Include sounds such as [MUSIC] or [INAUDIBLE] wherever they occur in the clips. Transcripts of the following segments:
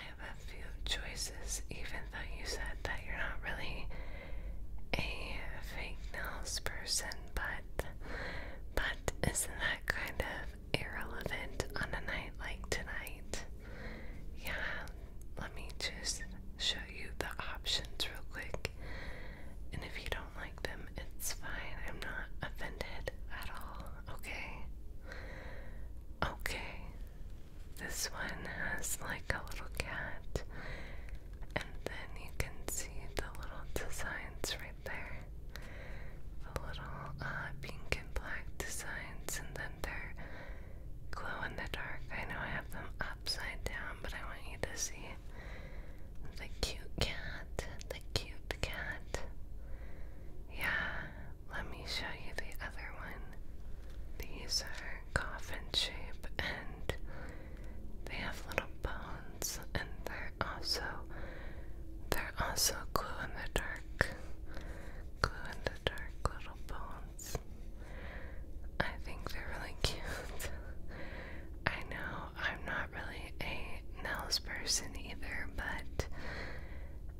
I have a few choices, even though you said that you're not really a fake nails person, but but isn't that kind of irrelevant on a night like tonight? Yeah, let me just show you the options real quick. And if you don't like them, it's fine. I'm not offended at all. Okay. Okay. This one has like a little cat, and then you can see the little designs right there. The little uh, pink and black designs, and then they're glow in the dark. I know I have them upside down, but I want you to see the cute cat. The cute cat. Yeah, let me show you the other one. These are coffin shape and they have little bones and they're also they're also glow in the dark. Glow in the dark little bones. I think they're really [LAUGHS] cute. I know I'm not really a Nels person either, but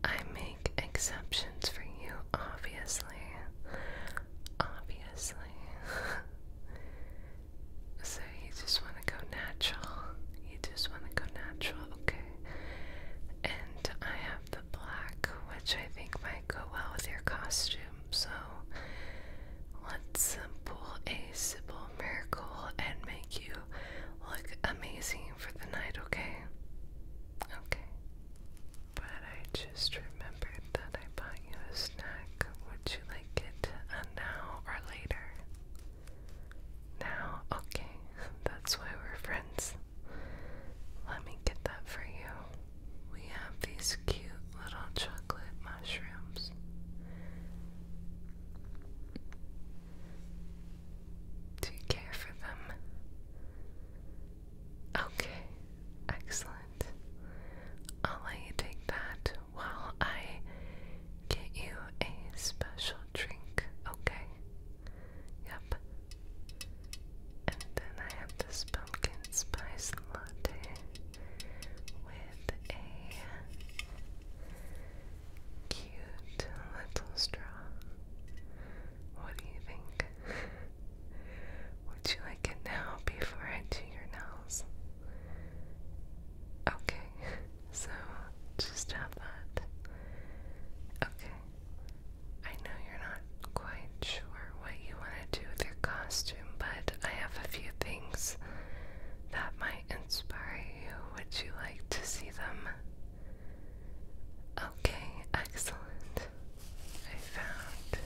I make exceptions for you, obviously. Obviously. [LAUGHS] so you just want to go natural. You just want to go natural, okay? And I have the black, which I think might go well with your costume. So let's pull a simple miracle and make you look amazing for the night, okay? Okay. But I just remembered that I bought you a snack. Would you like it uh, now or later? Now? Okay. [LAUGHS] That's why we're friends. Let me get that for you. We have these cute little chocolate mushrooms. Do you care for them? Okay, excellent. I'll let you take that while I get you a special drink, okay? Yep. And then I have this pumpkin spice latte with a cute little straw. What do you think? Would you like it now before I do your nails? Okay, so just have that. Okay, I know you're not quite sure what you want to do with your costume, but I have a few things that might inspire you. Would you like to see them? Okay, excellent. I found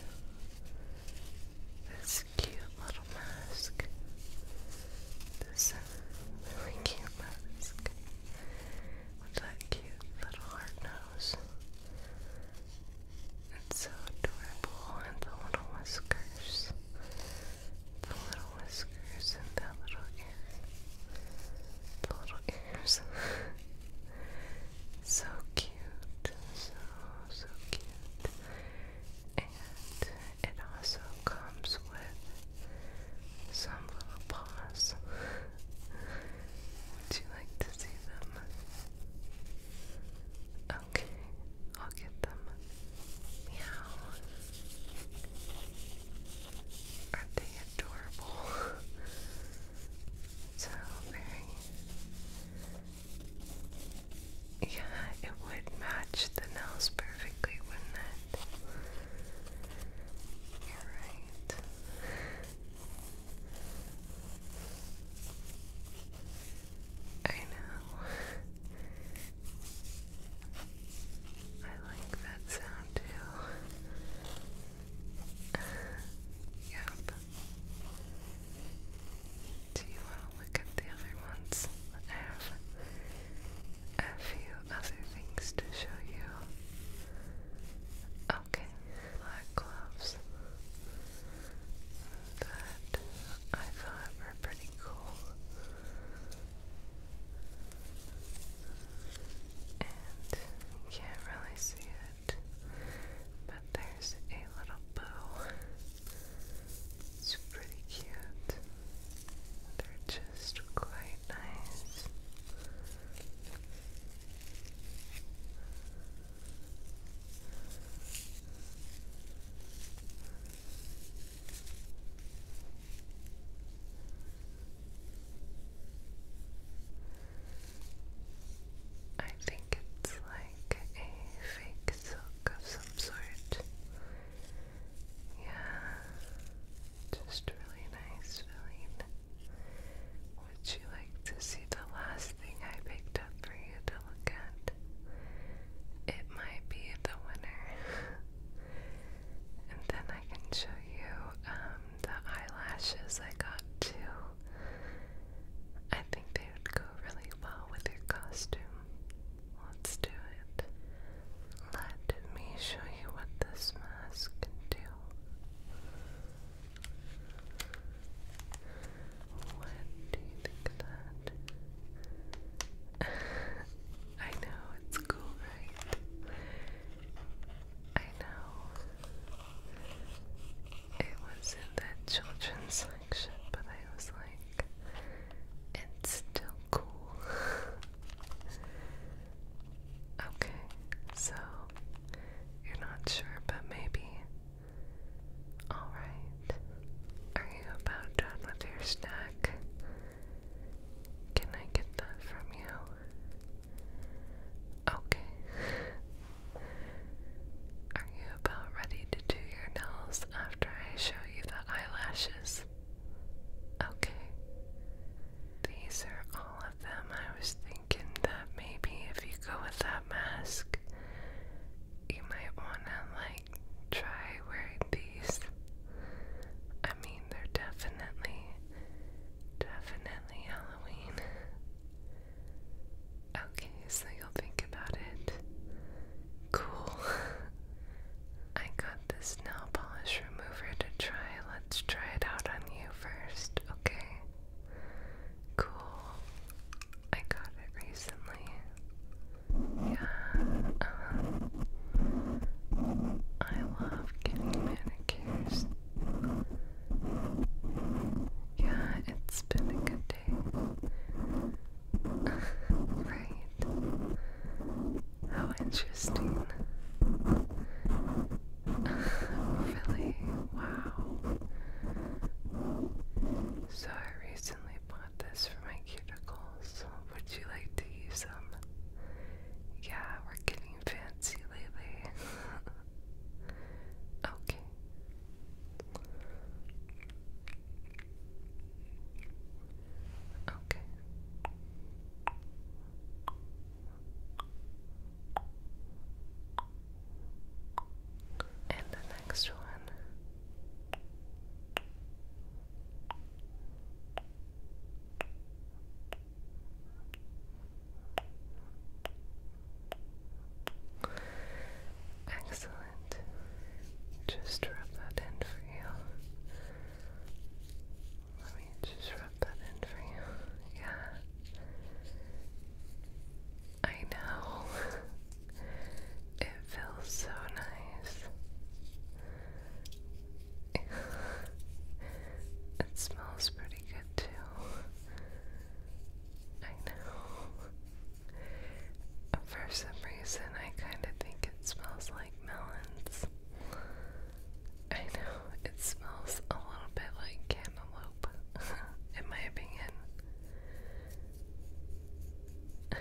this cute little mask. This uh, really cute mask with that cute little hard nose. It's so adorable, and the little whiskers. The little whiskers and that little little ears. [LAUGHS] so cute. So, so cute. And it also comes with some little paws. Would you like to see them? Okay, I'll get them. Meow. Aren't they adorable? [LAUGHS] so very. Yeah, it would match the nails perfectly, wouldn't it? You're right. I know. I like that sound too. [LAUGHS] yep. Do you want to look at the other ones? I have a few other things to show you. Okay, black gloves that I thought were pretty cool and you can't really see it, but there's a little bow. It's pretty cute. They're just quite nice. I think it's like a fake silk of some sort. Yeah, just really nice feeling. Would you like to see the last thing I picked up for you to look at? It might be the winner. [LAUGHS] And then I can show you um, the eyelashes I got too. I think they would go really well with your costume. Let's do it. Let me show you what this mask can do. What do you think of that? [LAUGHS] I know, it's cool, right? I know it was in the children's section, but I was like, it's still cool. [LAUGHS] okay, so you're not sure, but maybe. Alright. Are you about done with your snack? Can I get that from you? Okay. Are you about ready to do your nails after I show you the eyelashes? Okay. These are all of them. I was thinking that maybe if you go with that mask, you might want to like try wearing these. I mean, they're definitely Definitely Halloween. Okay, so you'll think about it. Cool. [LAUGHS] I got this nail polish remover to try. Let's try it out on you first, okay? Cool. I got it recently. Yeah. Uh I love getting manicures. Yeah, it's been a good day. [LAUGHS] right. How interesting. [LAUGHS] really? Wow. So I recently bought this for my cuticles. Would you like to use them? Yeah, we're getting fancy lately. [LAUGHS] okay. Okay. And the next one. Excellent. Just rub that in for you. Let me just rub that in for you. Yeah. I know. [LAUGHS] it feels so nice. [LAUGHS] it smells pretty good too. I know. For some reason, I kind of think it smells like melons. I know it smells a little bit like cantaloupe, [LAUGHS] in my opinion. [LAUGHS]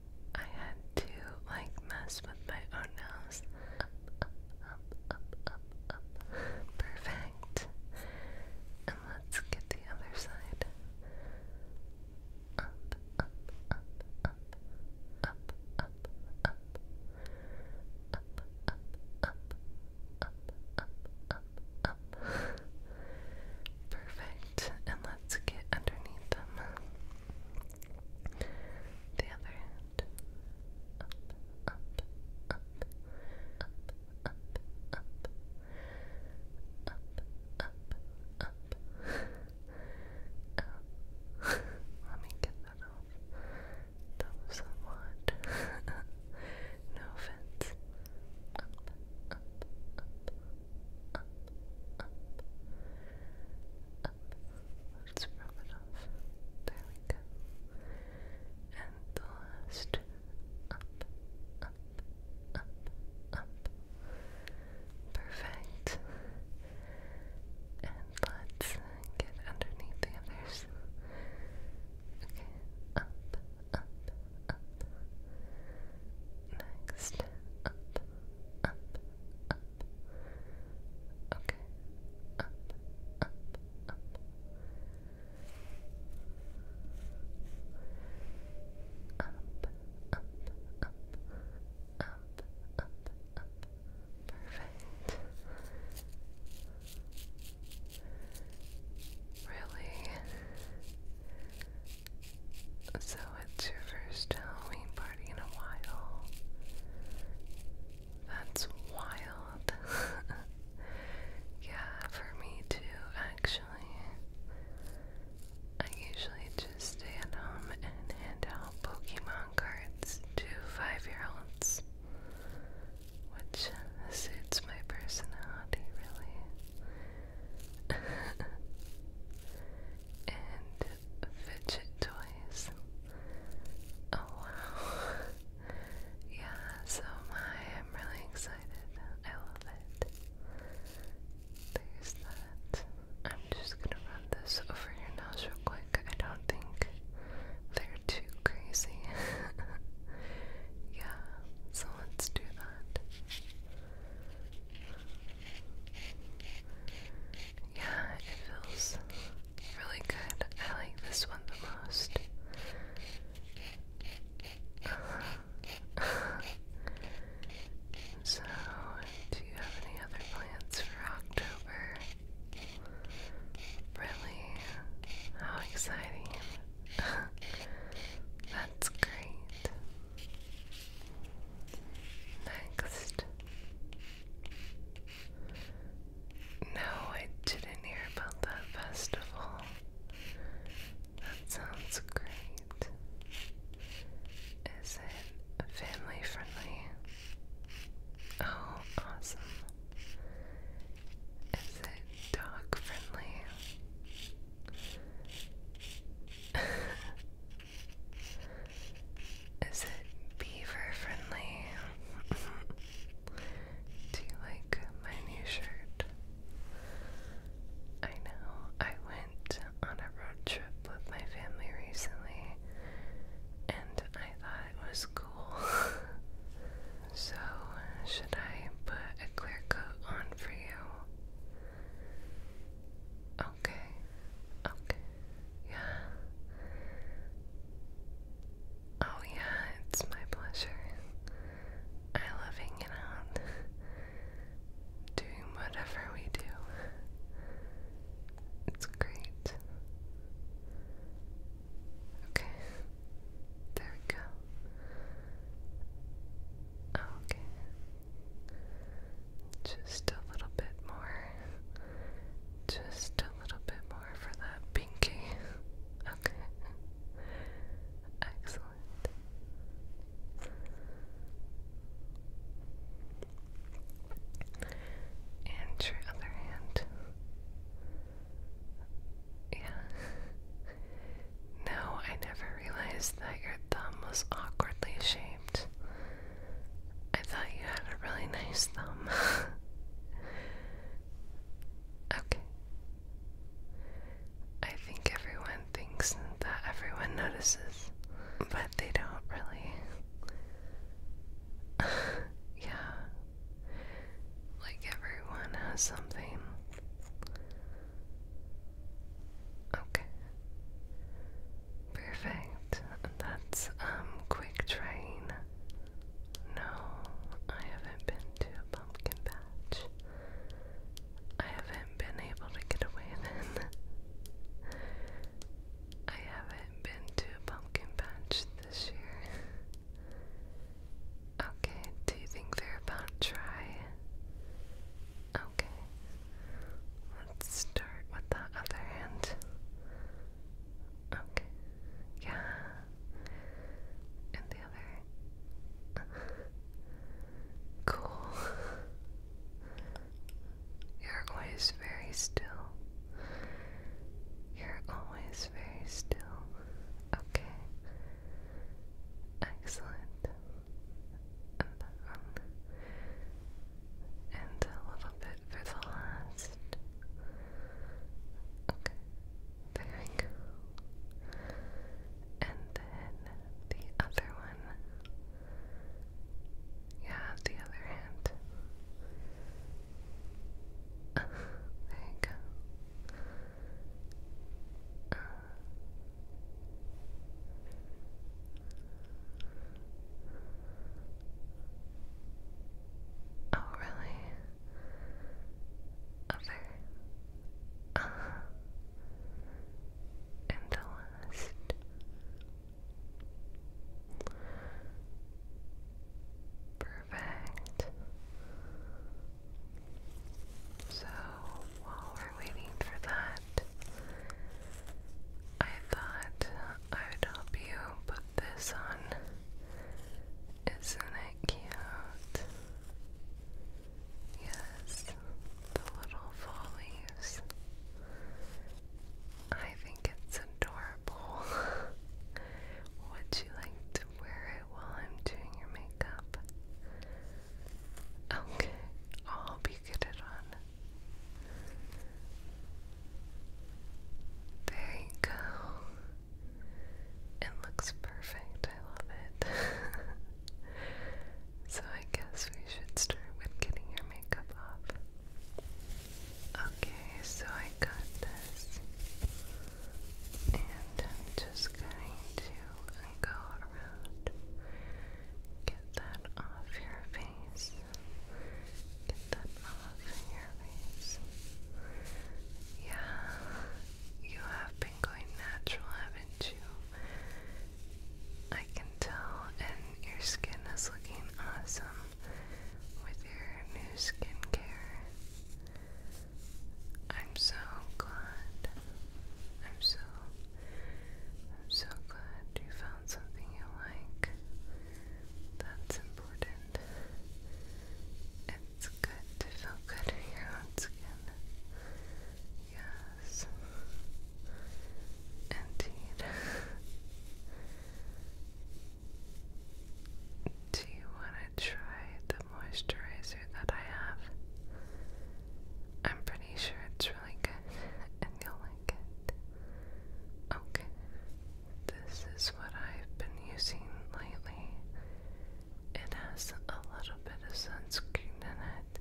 I had to like mess with my own nose. Up, up, up, up, up, up. Perfect. Up, up, up, up, up, up, up, up, up, up, up, up, up, up, Perfect. And let's get underneath them. The other hand. Up, up, up, up, up, up, up, up, up. Let me get that off. That was a lot. no offense. up, up, up, up, up, up. Let's rub it off. There we And last up, up, up, up. Perfect. And let's get underneath the others. Okay, up, up, up. Next, up, up, up. Okay, up, up, up. Up, up, up, up, up, Perfect. Really so it's your first Halloween party in a while. That's wild. [LAUGHS] yeah, for me too, actually. I usually just stay at home and hand out Pokemon cards to five year olds, which suits my personality really and fidget toys. Oh wow. [LAUGHS] yeah, so my I'm really excited. I love it. There's that. I'm just gonna run this over your nose real quick. I don't think they're too crazy. [LAUGHS] yeah, so let's do that. Yeah, it feels really good. I like this one the most. [LAUGHS] so, do you have any other plans for October? Really? How exciting! [LAUGHS] That's great. Next. No, I didn't hear about that festival. That sounds great. Is it family friendly? Oh, awesome. Is it dog friendly? [LAUGHS] Is it beaver friendly? [LAUGHS] Do you like my new shirt? I know I went on a road trip with my family recently and I thought it was cool. [LAUGHS] so, uh, should I put a clear coat on for you? Okay. Okay. Yeah. Oh yeah, it's my pleasure. I love hanging out. Doing whatever we do. It's great. Okay. There we go. Okay. Just a little bit more. Just a little bit more for that pinky. Okay. Excellent. And your other hand. Yeah. No, I never realized that your thumb was awkwardly shaped. I thought you had a really nice thumb. [LAUGHS] okay. I think everyone thinks that everyone notices, but they don't really. [LAUGHS] yeah. Like everyone has something. Okay. Perfect. That's um quick train. No, I haven't been to a pumpkin patch. I haven't been able to get away [LAUGHS] then. I haven't been to a pumpkin patch this year. Okay, do you think they're about to try? Okay. Let's start with the other hand. Okay. Yeah. And the other. Cool. You're always very still. You're always very still. Okay. Excellent and a little bit for the last. Okay, there we go. And then the other one. Yeah, the other hand. Uh, there you go. Oh, really? Over uh, in Perfect. So while we're waiting for that, I thought I would help you put this on. Isn't it cute? Yes, the little fall leaves. I think it's adorable. [LAUGHS] Would you like to wear it while I'm doing your makeup? Okay, I'll be you get it on. There you It looks perfect. I love it. [LAUGHS] so I guess we should start with getting your makeup off. Okay, so I got this. And I'm just going to go around. Get that off your face. Get that off your face. Yeah, you have been going natural, haven't you? I can tell, and your skin is looking awesome with your new skincare. I'm so glad I'm so I'm so glad you found something you like. That's important. It's good to feel good in your own skin. Yes. Indeed. Do you want to try the moisturizer that I have? I'm pretty sure it's really good and you'll like it. Okay, this is what I've been using lately. It has a little bit of sunscreen in it.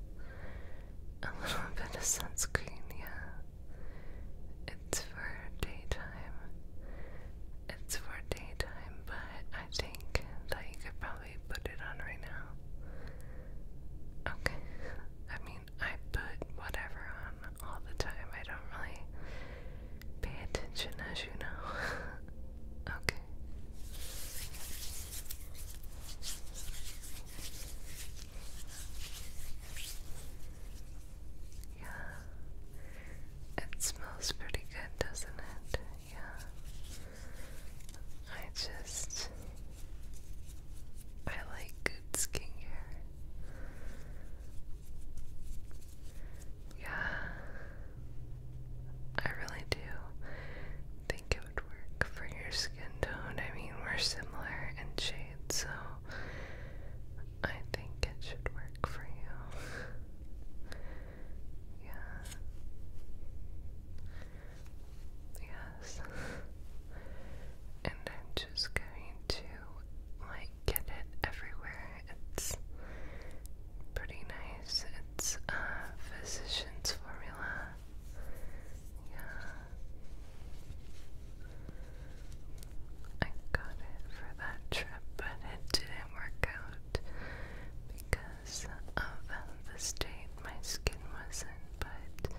A little [LAUGHS] bit of sunscreen, yeah. It's for daytime. It's for daytime, but I think that you could probably put it on right now? Okay. I mean, I put whatever on all the time. I don't really pay attention, as you know. [LAUGHS] okay. Yeah. It smells pretty good, doesn't it? Yeah. I just I like good skincare. Yeah. I really do think it would work for your skin tone. I mean, we're similar in shade, so I think it should work for you. yeah. Yes. and I'm just going to like get it everywhere. It's pretty nice. It's a uh, physician's formula. Yeah. I got it for that trip, but it didn't work out because because the state my skin was in, but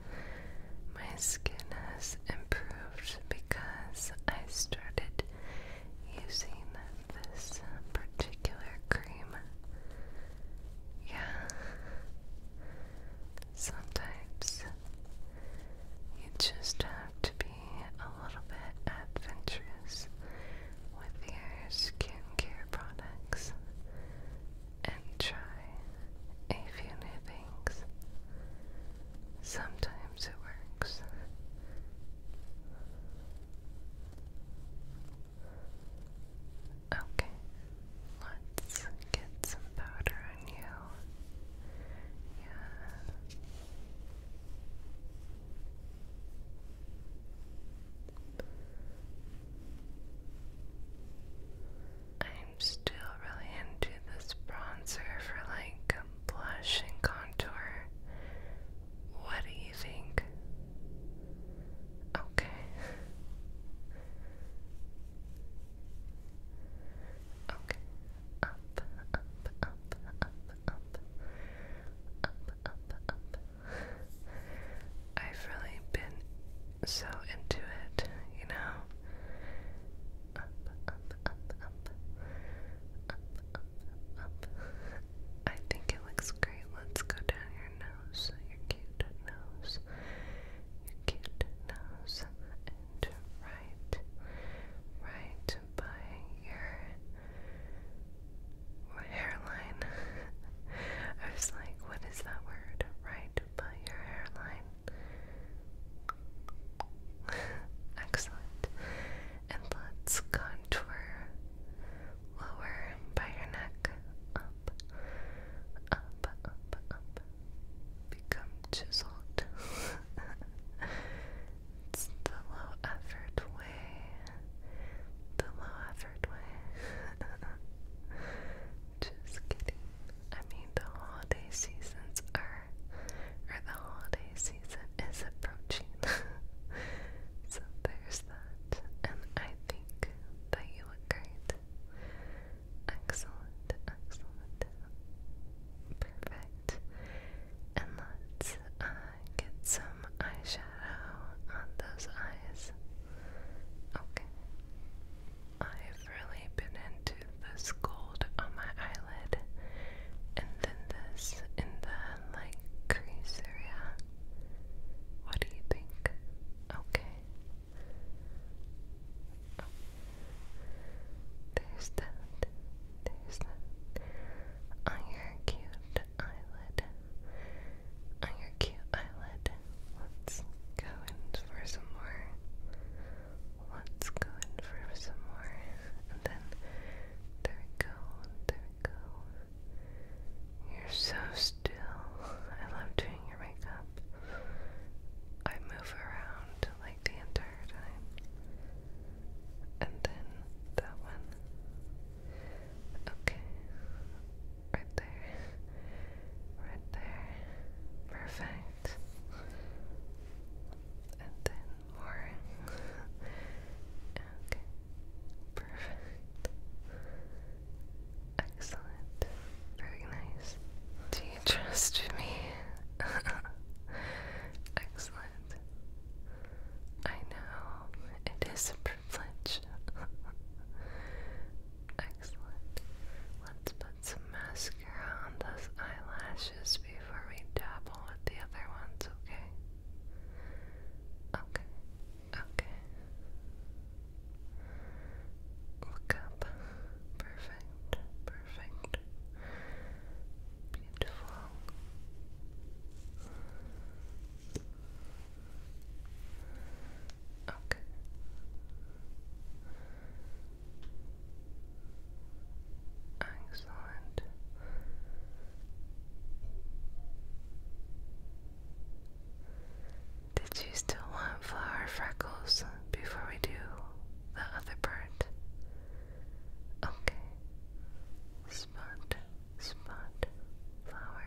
my skin has improved because I started using this particular cream. Yeah. Sometimes you just have to be a little bit adventurous with your skincare products and try a few new things. Sometimes it works. Okay, let's get some powder on you. Yeah. I'm still really into this bronzer for like blush and contour. What do you think? Okay. Okay. Up, up, up, up, up, up, up, up, I've really been so into it, you know? Up, up, up, up. Up, up, up. I think it looks great. Let's go down your nose, your cute nose, your cute nose, and right, right by your or hairline. [LAUGHS] I was like, what is that word? Right, but your hairline. [LAUGHS] Excellent. And let's contour lower by your neck, up, up, up, up. Become chiseled. [LAUGHS] it's the low effort way the low effort way. [LAUGHS] Just kidding. I mean, the holiday seasons are, or the holiday season is approaching. [LAUGHS] so there's that, and I think that you look great. Excellent, excellent, perfect. And let's uh, get some eyeshadow on those eyes. Okay. I've really been into this gold on my eyelid and then this in the like crease area. What do you think? Okay. There's that. There's that. Oh, you cute eyelid, on your cute eyelid. Let's go in for some more. Let's go in for some more. And then, there we go, there we go. You're so still. I love doing your makeup. I move around like the entire time. And then that one. Okay. Right there. Right there. Perfect. And then more. okay. Perfect. Excellent. Very nice. Do you trust me? [LAUGHS] Excellent. I know it is a privilege [LAUGHS] Excellent. Let's put some mascara on those eyelashes before we dabble with the other ones, okay? Okay, okay. Look up. Perfect, perfect. Beautiful. Okay. Excellent. Did you still want flower freckles before we do the other part? Okay. Spot, spot, flower,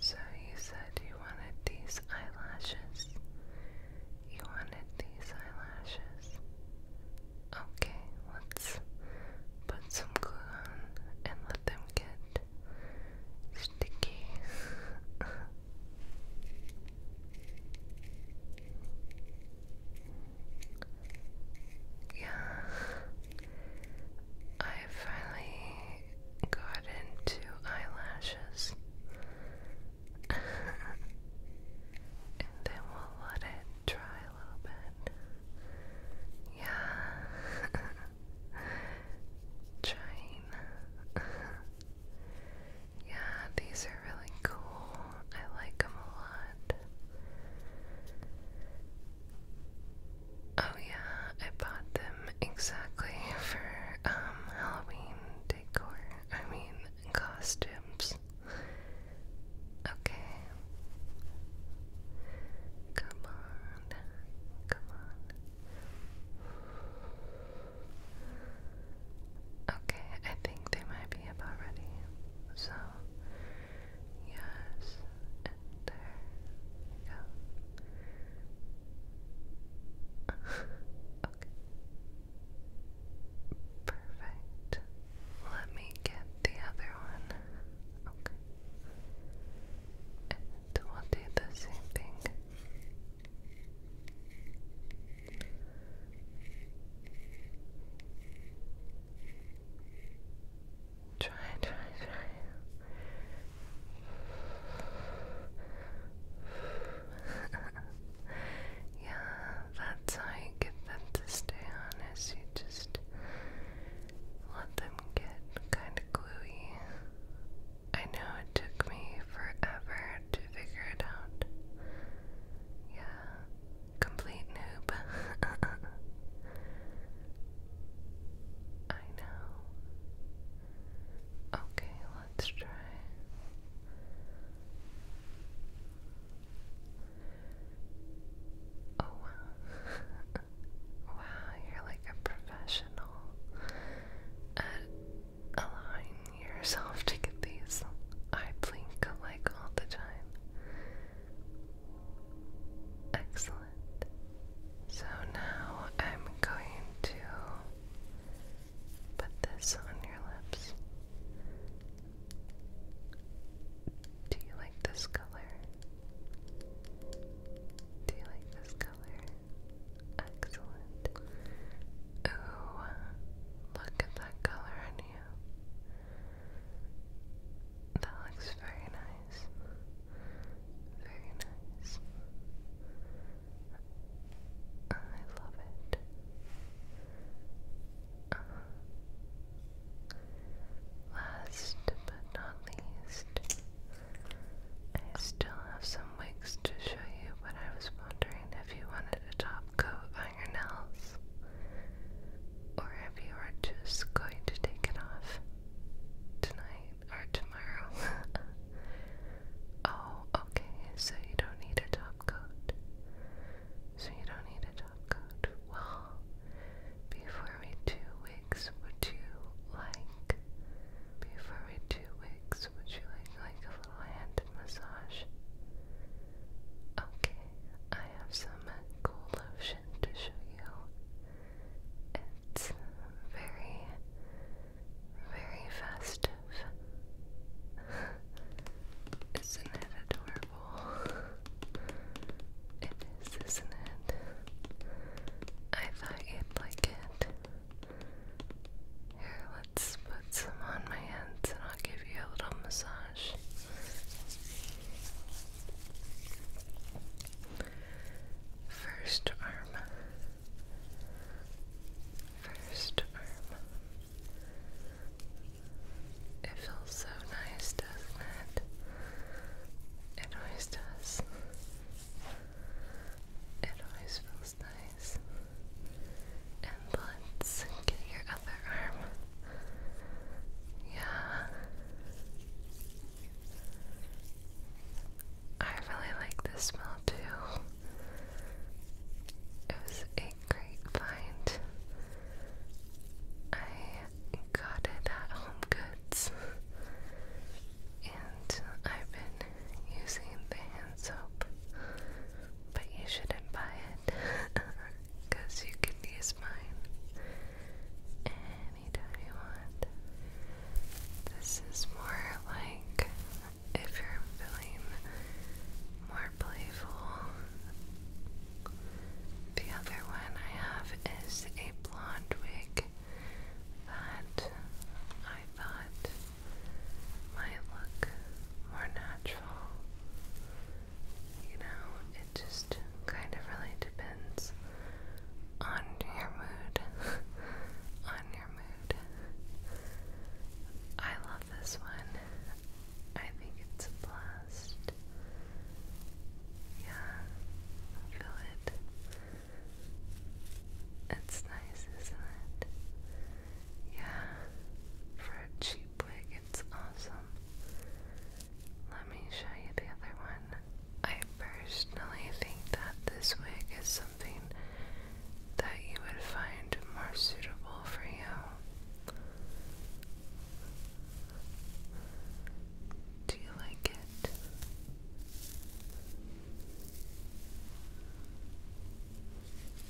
So you said you wanted these eyelashes. You wanted these eyelashes. Okay, let's put some glue on and let them get sticky. [LAUGHS] yeah, I finally got into eyelashes. and then we'll let it dry a little bit. Yeah. China. yeah, these are really cool. I like them a lot. Oh yeah, I bought them exactly for um, Halloween decor. I mean costumes. Okay. Come on. Come on. Okay, I think they might be about ready. So yes, there we go okay. Perfect. Let me get the other one. Okay. And we'll do the same thing. Try, try, try. [LAUGHS] yeah, that's how you get them to stay on, you just let them get kind of gluey. I know it took me forever to figure it out. Yeah, complete noob. [LAUGHS] I know. Okay, let's try. Oh [LAUGHS] wow. you're like a professional at allowing yourself to get these. I blink alike all the time. Excellent. So now I'm going to put this on your lips. Do you like this color? Do you like this color? Excellent. Ooh, look at that color on you. That looks very nice. Very nice. I love it. Uh-huh. last but not least, I still have some wigs to show you, but I was wondering if you wanted a top coat on your nails, or if you were just going to take it off tonight or tomorrow. [LAUGHS] oh, okay, so you don't need a top coat. So you don't need a top coat. Well, before we do wigs, would you like before we do wigs, would you like like a little hand massage? Okay, I have some cool lotion to show you. It's very, very festive. [LAUGHS] Isn't It is, isn't it? I thought you'd like it. Here, let's put some on my hands and I'll give you a little massage. First arm. First arm. It feels so nice, doesn't it? It always does. It always feels nice. And let's get your other arm. Yeah. I really like this smell too. It was a great find. I got it at Home Goods. And I've been using the hand soap, but you shouldn't buy it because [LAUGHS] you could use mine anytime you want. This is more like if you're feeling more playful. The other one I have is a blonde wig that I thought might look more natural. You know, it just kind of really depends on your mood. [LAUGHS] on your mood. I love this one. I think it's a blast. Yeah, feel it. It's nice, isn't it? Yeah, for a cheap wig, it's awesome. Let me show you the other one. I personally think that this wig is something that you would find more suitable for you. Do you like it?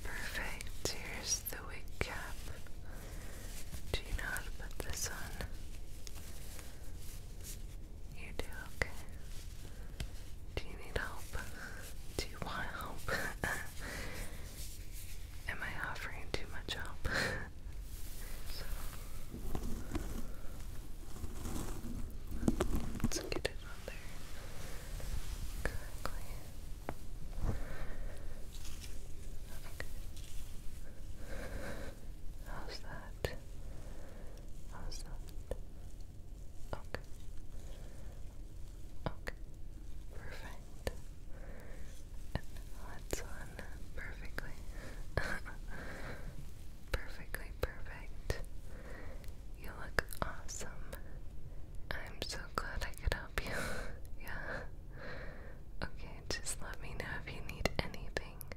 Perfect. Here's the wig cap. Do you know put this on? You do okay. Do you need help? Do you want help? [LAUGHS] Am I offering too much help? [LAUGHS] let's get it on there correctly. Okay. How's that? How's that? Okay. Okay. Perfect. that's on perfectly. [LAUGHS] perfectly perfect. You look awesome. I'm so glad I could help you. [LAUGHS] yeah. Okay, just let me know if you need anything.